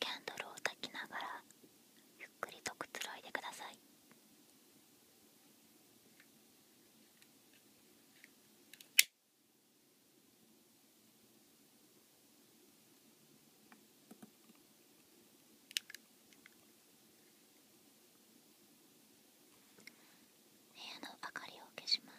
キャンドルを焚きながらゆっくりとくつろいでください。部屋の明かりを消します。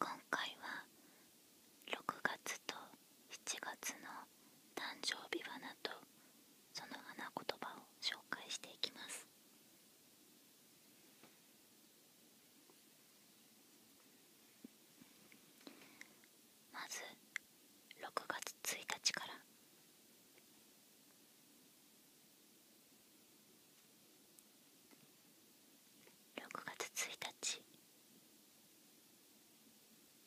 今回は6月と7月の誕生日花とその花言葉を紹介していきますまず6月1日から六月一日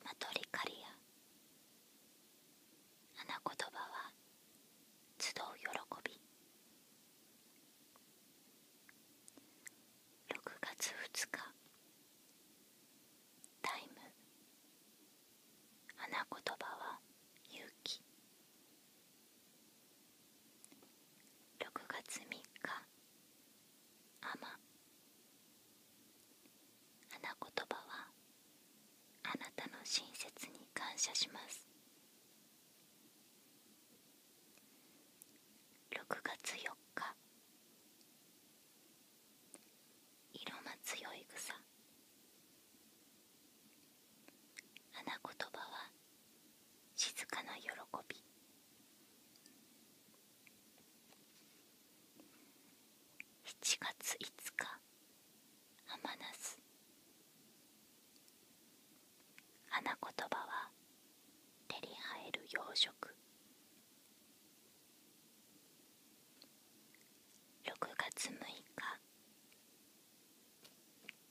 マトリカリア花言葉は集う喜び六月二日タイム花言葉は勇気6月3日天花言葉はあなたの親切に感謝します6月4日色の強い草花言葉は静かな喜び7月5日浜那花言葉は手に入る養殖6月6日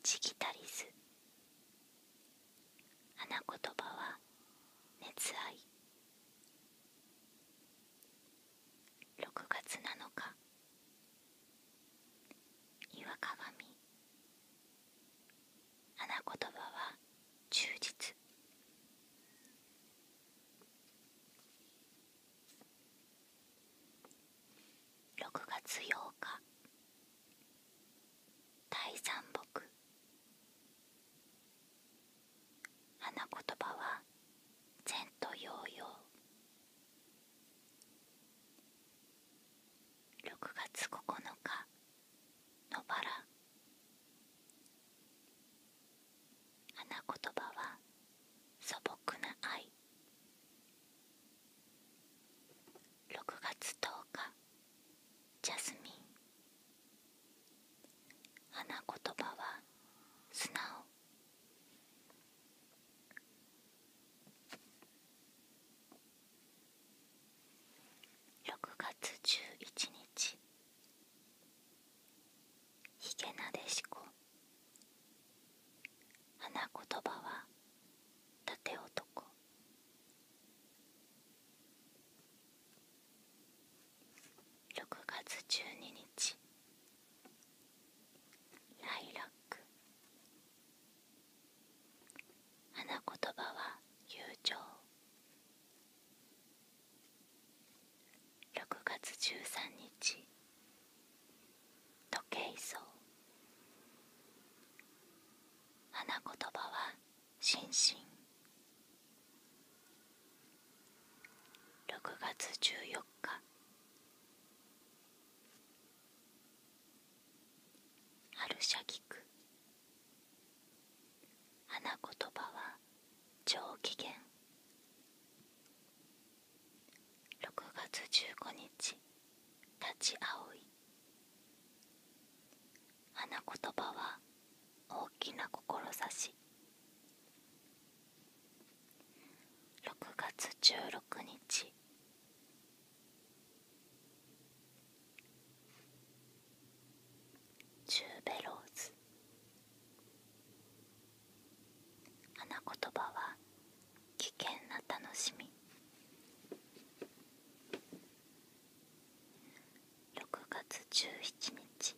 チギタリス花言葉は熱愛6月7日岩鏡花言葉は忠実6月8日大山木花言葉は前と洋々6月9日野バラ花言葉は素朴な愛6月10日ジャスミン花言葉は素直6月11日ひげなでしこ花言葉は縦男6月12日ライラック花言葉は友情6月13日時計草花言葉は心身6月14日春社菊花言葉は上機嫌6月15日立ち葵花言葉は大きな志6月16日チューベローズ花言葉は危険な楽しみ6月17日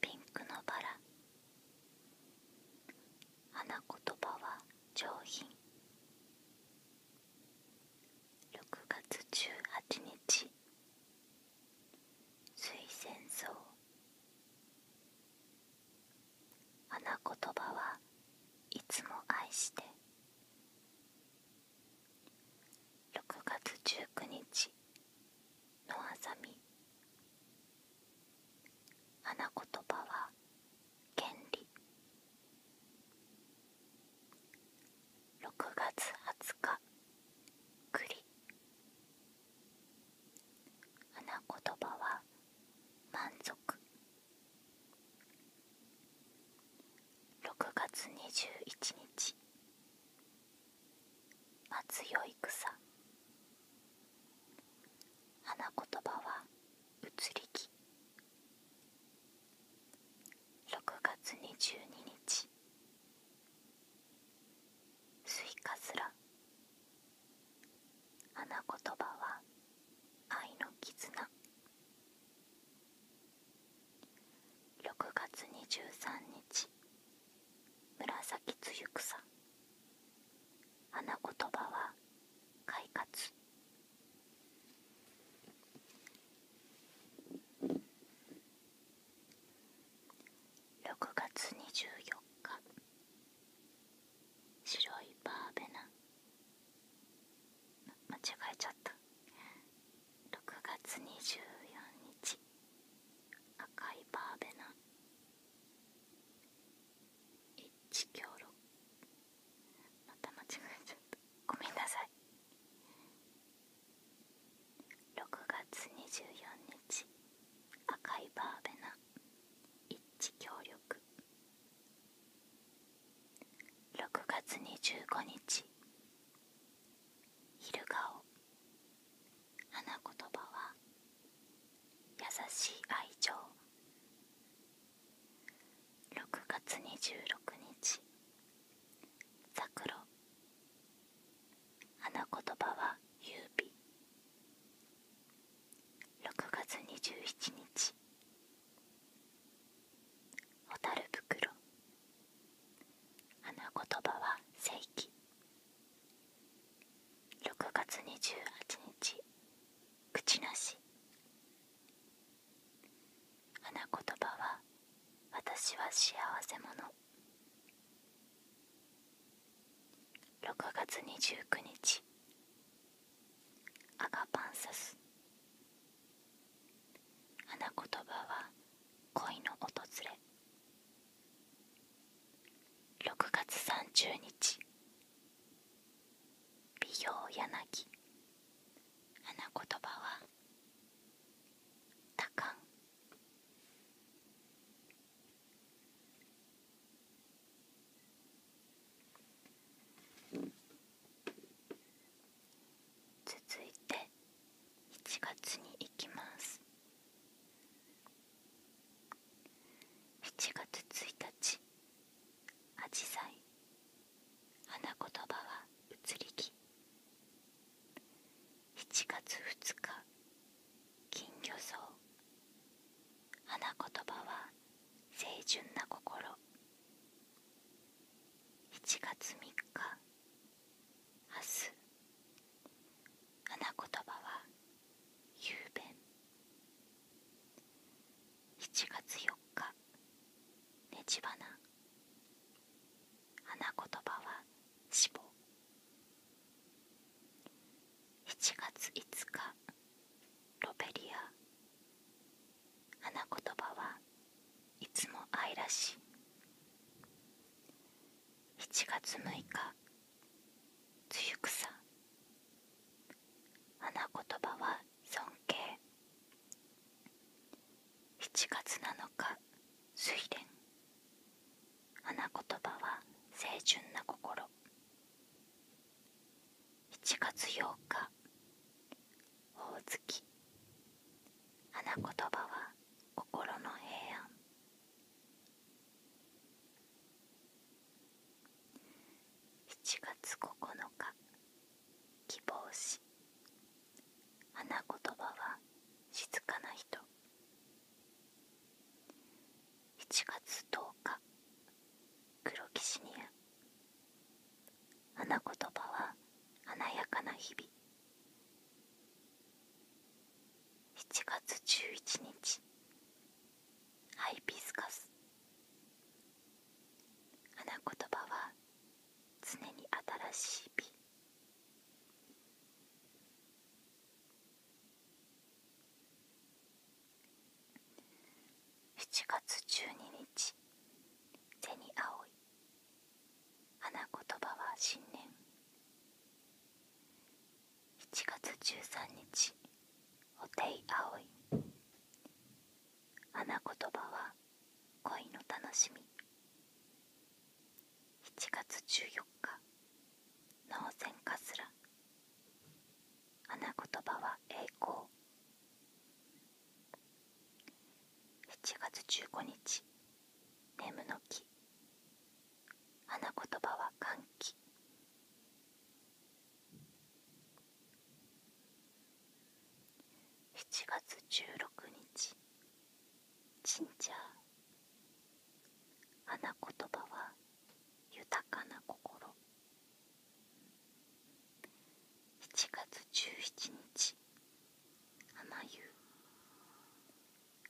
ピンクのバラ花言葉は上品6月18日水仙草花言葉はいつも愛して6月19日のあざみ花言葉は権利6月20日栗花言葉は満足6月21日松よい草花言葉は移り気6月22日スイカすら花言葉は愛の絆6月23日紫つゆ草花言葉は快活6月24日白いバーベナ間違えちゃった6月24日赤いバーベナ一強六また間違えちゃったごめんなさい6月24日赤いバーベナ一致協力6月25日昼顔花言葉は優しい愛情6月26日ざくろ花言葉は優美6月27日蛍袋花言葉は正規6月28日口なし花言葉は私は幸せ者6月29日アガパンサス花言葉は恋の訪れ6月30日美容柳花言葉は多感続いて7月に行きます7月1日あじさい花言葉は移り木。七月二日金魚草花言葉は清純な心七月三日明日花言葉はべん。七月四日ねち花花言葉は死亡7月5日ロベリア花言葉はいつも愛らしい7月6日露草花言葉は尊敬七月七日睡蓮花言葉は清純な心七月八日大月。花言葉は心の平安七月九日希望し花言葉は静かな人7月10日黒騎士ニア花言葉は華やかな日々7月11日ハイビスカス花言葉は常に新しい美7月12日に銭葵花言葉は新年7月13日おてい葵花言葉は恋の楽しみ7月14日脳線かすら花言葉は栄光7月15日眠の木花言葉は歓喜7月16日ジンジャー花言葉は豊かな心7月17日花湯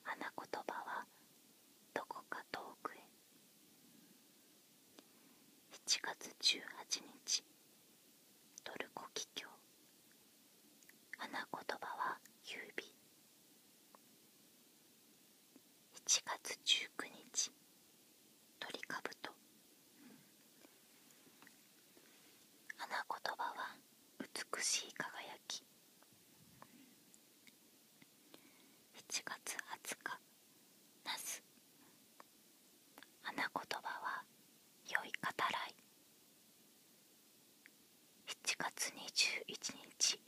花言葉はどこか遠くへ7月18日トルコキキョウ花言葉は指7月19日ト鳥かぶと花言葉は美しい輝き7月20日ナス花言葉は「良い語らい」7月21日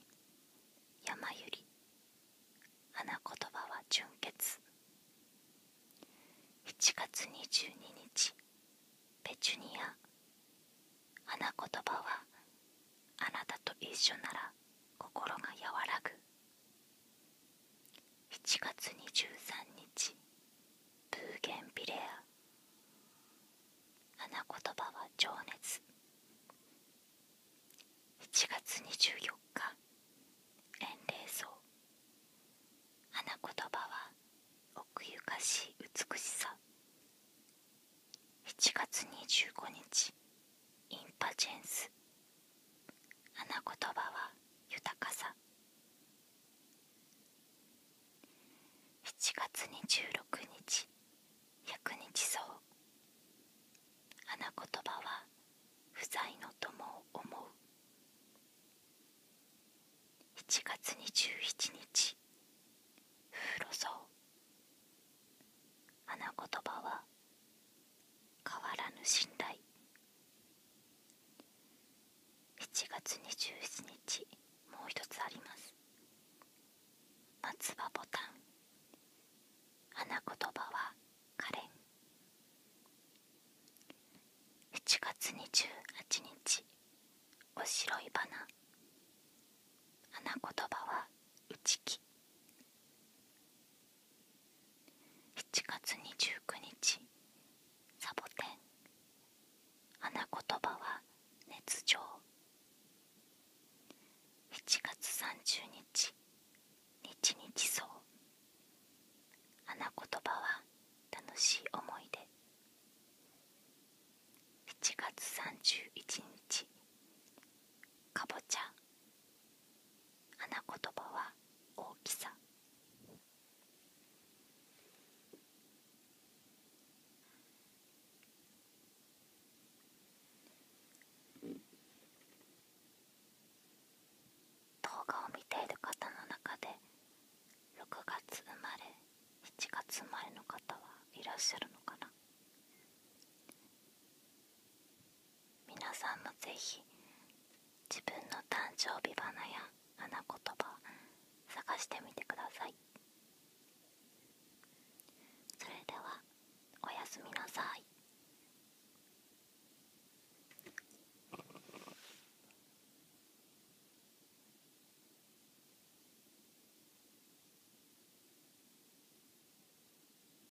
山ゆり花言葉は「純潔」7月22日ペチュニア花言葉は「あなたと一緒なら心が和らぐ」7月23日ブーゲンビレア花言葉は情熱7月24日円礼草花言葉は奥ゆかしい美しさ7月25日インパジェンス花言葉は豊かさ7月26日百日草花言葉は不在の友を思う7月27日風呂草花言葉は変わらぬ信頼7月27日もう一つあります松葉ボタン花言葉はかれん。7月28日お白い花花言葉は内気7月29日サボテン花言葉は熱情7月30日日日草花言葉は楽しい思い出7月31日かぼちゃ花言葉は大きさ動画を見ている方の中で6月生まれ7月生まれの方はいらっしゃるのかな皆さんもぜひ自分の誕生日花や花言葉探してみてくださいそれではおやすみなさい